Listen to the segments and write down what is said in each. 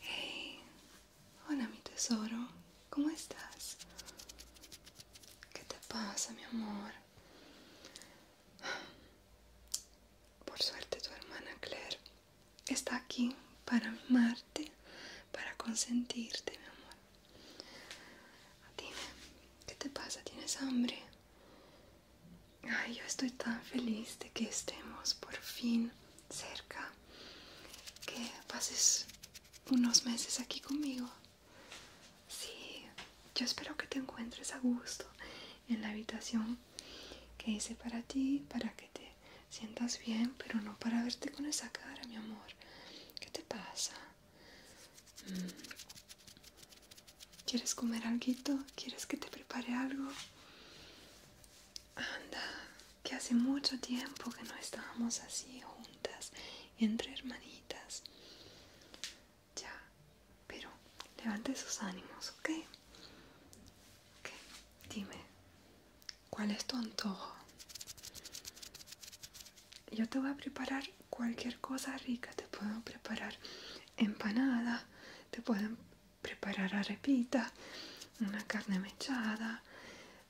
Hey, hola mi tesoro, ¿cómo estás? ¿Qué te pasa, mi amor? Por suerte tu hermana Claire está aquí para amarte, para consentirte, mi amor. Dime, ¿qué te pasa? ¿Tienes hambre? Ay, yo estoy tan feliz de que estemos por fin cerca, que pases unos meses aquí conmigo. Sí, yo espero que te encuentres a gusto en la habitación que hice para ti, para que te sientas bien, pero no para verte con esa cara, mi amor. ¿Qué te pasa? Mm. ¿Quieres comer algo? ¿Quieres que te prepare algo? Anda, que hace mucho tiempo que no estábamos así juntas, entre hermanitas. Ya, pero levante sus ánimos, ¿ok? dime, ¿cuál es tu antojo? Yo te voy a preparar cualquier cosa rica, te puedo preparar empanada, te puedo preparar arepita, una carne mechada,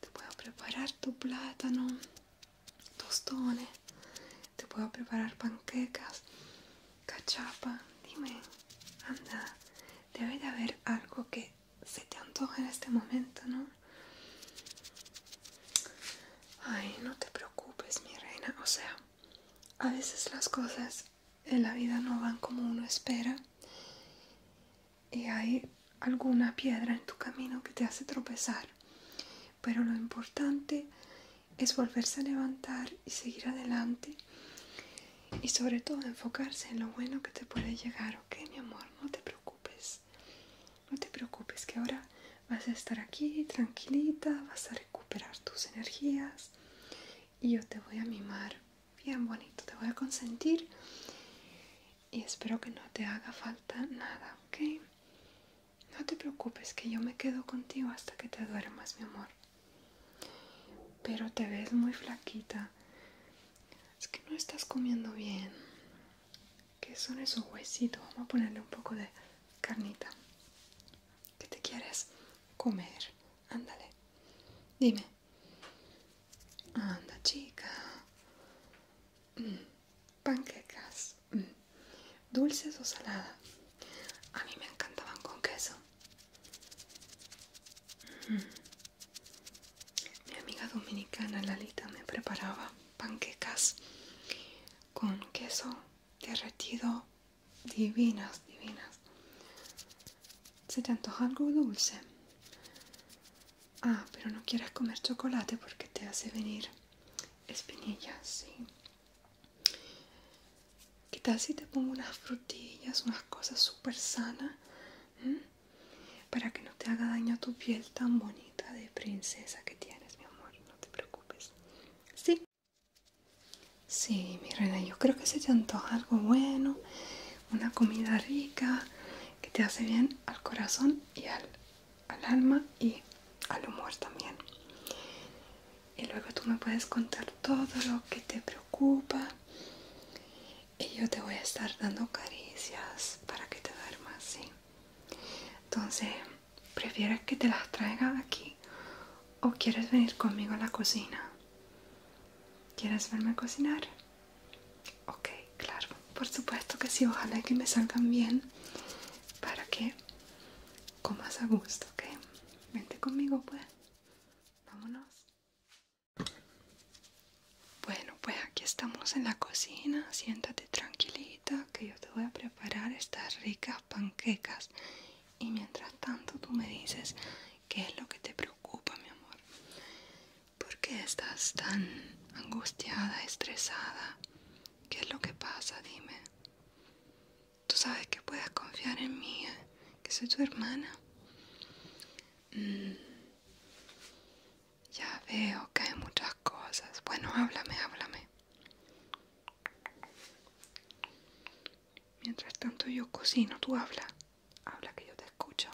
te puedo preparar tu plátano, tostones, te puedo preparar panquecas, cachapa. Dime, anda, debe de haber algo que se te antoje en este momento, ¿no? Ay, no te preocupes, mi reina. O sea, a veces las cosas en la vida no van como uno espera. Y hay alguna piedra en tu camino que te hace tropezar. Pero lo importante es volverse a levantar y seguir adelante y sobre todo enfocarse en lo bueno que te puede llegar, ¿ok mi amor? No te preocupes, no te preocupes que ahora vas a estar aquí tranquilita, vas a recuperar tus energías y yo te voy a mimar bien bonito, te voy a consentir y espero que no te haga falta nada, ¿ok? No te preocupes, que yo me quedo contigo hasta que te duermas, mi amor. Pero te ves muy flaquita. Es que no estás comiendo bien. ¿Qué son esos huesitos? Vamos a ponerle un poco de carnita. ¿Qué te quieres comer? Ándale. Dime. Anda, chica. Mm, panquecas. Mm, dulces o saladas. A mí me encantaban con queso. Mm. Mi amiga dominicana Lalita me preparaba panquecas con queso derretido divinas, divinas. ¿Se te antoja algo dulce? Ah, pero no quieres comer chocolate porque te hace venir espinillas, sí quizás si te pongo unas frutillas, unas cosas super sanas? Para que no te haga daño a tu piel tan bonita de princesa que tienes, mi amor. No te preocupes. Sí. Sí, mi reina, yo creo que se te antoja algo bueno, una comida rica, que te hace bien al corazón y al alma y al humor también y luego tú me puedes contar todo lo que te preocupa y yo te voy a estar dando caricias para que te duermas, ¿sí? Entonces, ¿prefieres que te las traiga aquí o quieres venir conmigo a la cocina? ¿Quieres verme cocinar? Ok, claro, por supuesto que sí, ojalá que me salgan bien para que más a gusto, ¿ok? Vente conmigo, pues. Vámonos. Bueno, pues aquí estamos en la cocina. Siéntate tranquilita que yo te voy a preparar estas ricas panquecas. Y mientras tanto tú me dices qué es lo que te preocupa, mi amor. porque qué estás tan angustiada, estresada? ¿Qué es lo que pasa? Dime tú sabes que puedes confiar en mí, eh, que soy tu hermana. Mm. Ya veo que hay muchas cosas. Bueno, háblame, háblame. Mientras tanto yo cocino, tú habla. Habla que yo te escucho.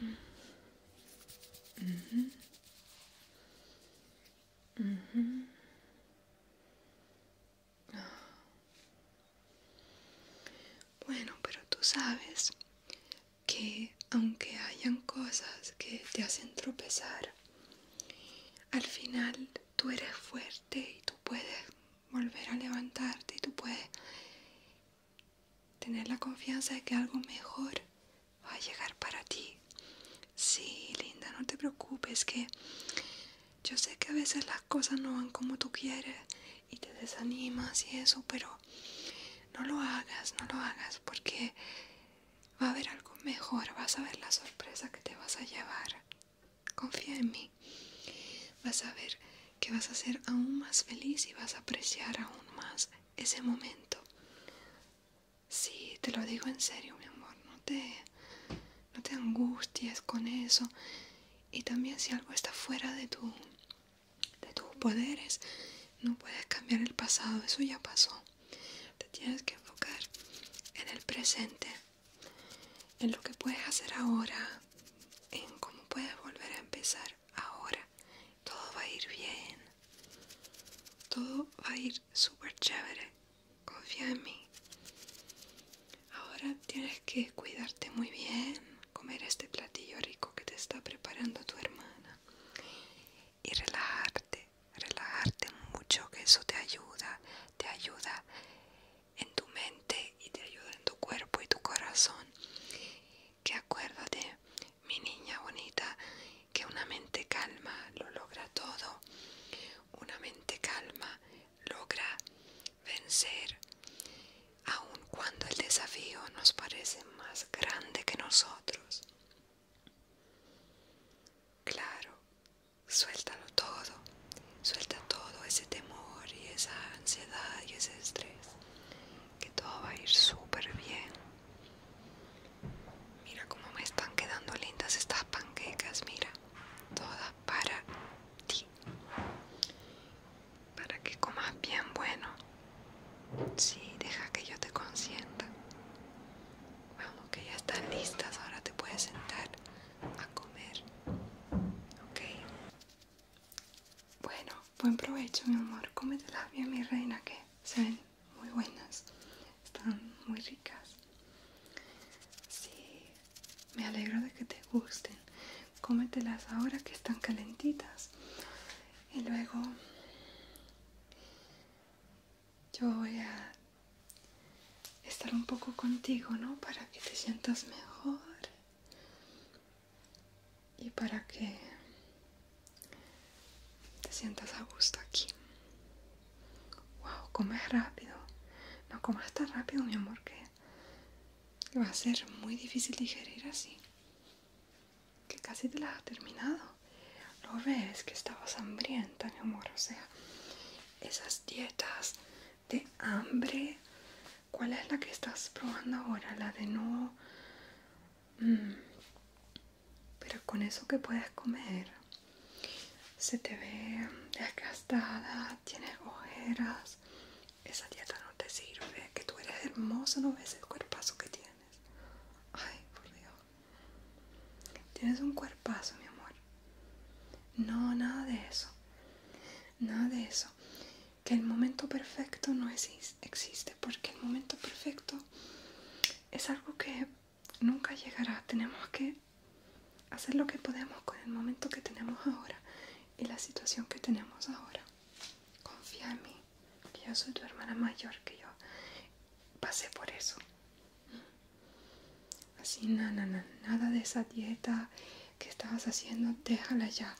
Mm-hmm. Mm-hmm. Bueno, pero tú sabes que aunque hayan cosas que te hacen tropezar, al final tú eres fuerte y tú puedes volver a levantarte y tú puedes tener la confianza de que algo mejor va a llegar para ti. Sí, linda, no te preocupes, que yo sé que a veces las cosas no van como tú quieres y te desanimas y eso, pero no lo hagas, no lo hagas, porque va a haber algo mejor, vas a ver la sorpresa que te vas a llevar. Confía en mí, vas a ver que vas a ser aún más feliz y vas a apreciar aún más ese momento. Sí, te lo digo en serio, mi amor. No te, no te angusties con eso. Y también si algo está fuera de, tu, de tus poderes, no puedes cambiar el pasado. Eso ya pasó. Te tienes que enfocar en el presente, en lo que puedes hacer ahora, en cómo puedes volver a empezar ahora. Todo va a ir bien. Todo va a ir súper chévere. Confía en mí. Ahora tienes que cuidarte muy bien, comer este platillo rico que te está preparando tu hermana y relajarte, relajarte mucho, que eso te ayuda, te ayuda en tu mente y te ayuda en tu cuerpo y tu corazón. Que acuérdate mi niña bonita, que una mente calma lo logra todo. Una mente calma logra vencer, aun cuando el desafío nos parece más grande que nosotros. Claro, suéltalo todo, suelta todo ese temor y esa ansiedad y ese estrés, que todo va a ir súper bien. Mira cómo me están quedando lindas estas panquecas, mira, todas para ti. Para que comas bien bueno. Sí, deja que yo te consienta. Vamos, que ya están listas, ahora te puedes sentar a comer. Ok. Bueno, buen provecho, mi amor. Cómetelas bien, mi reina, que se ven muy buenas, están muy ricas. Sí, me alegro de que te gusten. Cómetelas ahora que están calentitas. Y luego yo voy a estar un poco contigo, ¿no? Para que te sientas mejor y para que te sientas a gusto aquí. Wow, comes rápido. No comas tan rápido, mi amor, que va a ser muy difícil digerir así. Que casi te la has terminado. Lo ves que estabas hambrienta, mi amor. O sea, esas dietas de hambre. ¿Cuál es la que estás probando ahora? La de no Mm. Pero con eso que puedes comer, se te ve desgastada, tienes ojeras. Esa dieta no te sirve, que tú eres hermosa, no ves el cuerpazo que tienes. Ay, por Dios. Tienes un cuerpazo, mi amor. No, nada de eso. Nada de eso. Que el momento perfecto no existe, existe porque el momento perfecto es algo que nunca llegará. Tenemos que hacer lo que podemos con el momento que tenemos ahora y la situación que tenemos ahora. Confía en mí, que yo soy tu hermana mayor, que yo pasé por eso. Así, nada nada de esa dieta que estabas haciendo, déjala ya.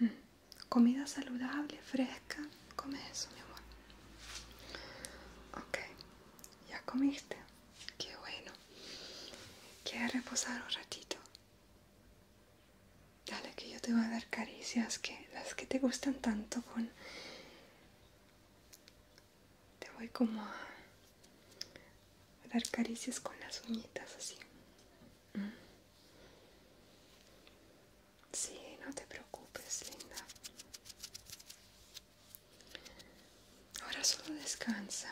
Mm. Comida saludable, fresca, come eso, mi amor. Ok, ya comiste. Qué bueno. Quiero reposar un ratito? Dale, que yo te voy a dar caricias, que las que te gustan tanto con... Te voy como a, a dar caricias con las uñitas así. Sí, no te preocupes, linda. Ahora solo descansa.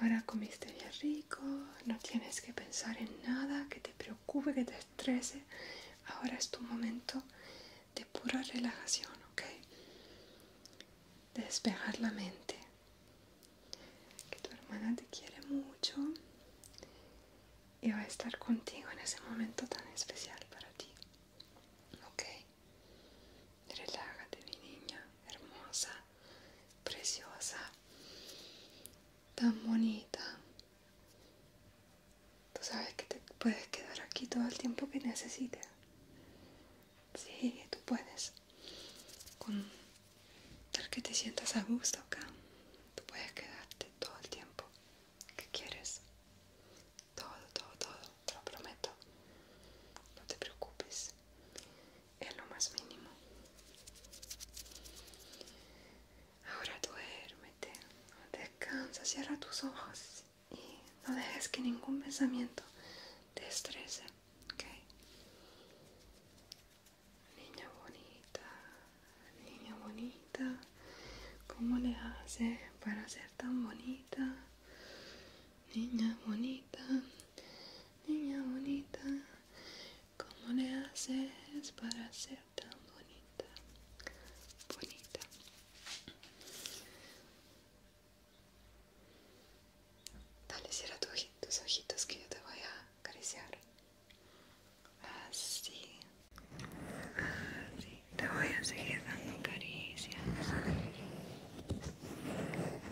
Ahora comiste bien rico, no tienes que pensar en nada que te preocupe, que te estrese. Ahora es tu momento de pura relajación, ¿ok? De despejar la mente. Que tu hermana te quiere mucho y va a estar contigo en ese momento tan especial para ti. Ok, relájate mi niña, hermosa, preciosa, tan bonita. Tú sabes que te puedes quedar aquí todo el tiempo que necesites. Sí, tú puedes. Con tal que te sientas a gusto acá, tú puedes quedarte todo el tiempo. ¿Qué quieres? Todo, todo, todo, te lo prometo. No te preocupes. Es lo más mínimo. Ahora duérmete. Descansa, cierra tus ojos y no dejes que ningún pensamiento te estrese. ¿okay? Niña bonita, niña bonita, ¿cómo le haces para ser tan bonita? Niña bonita, niña bonita, ¿cómo le haces para ser tan bonita? Bonita. Dale, cierra tus ojitos que yo te voy a acariciar así te voy a seguir dando caricias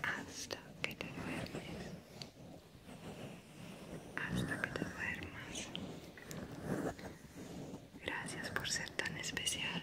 hasta que te duermes hasta que te duermas gracias por ser tan especial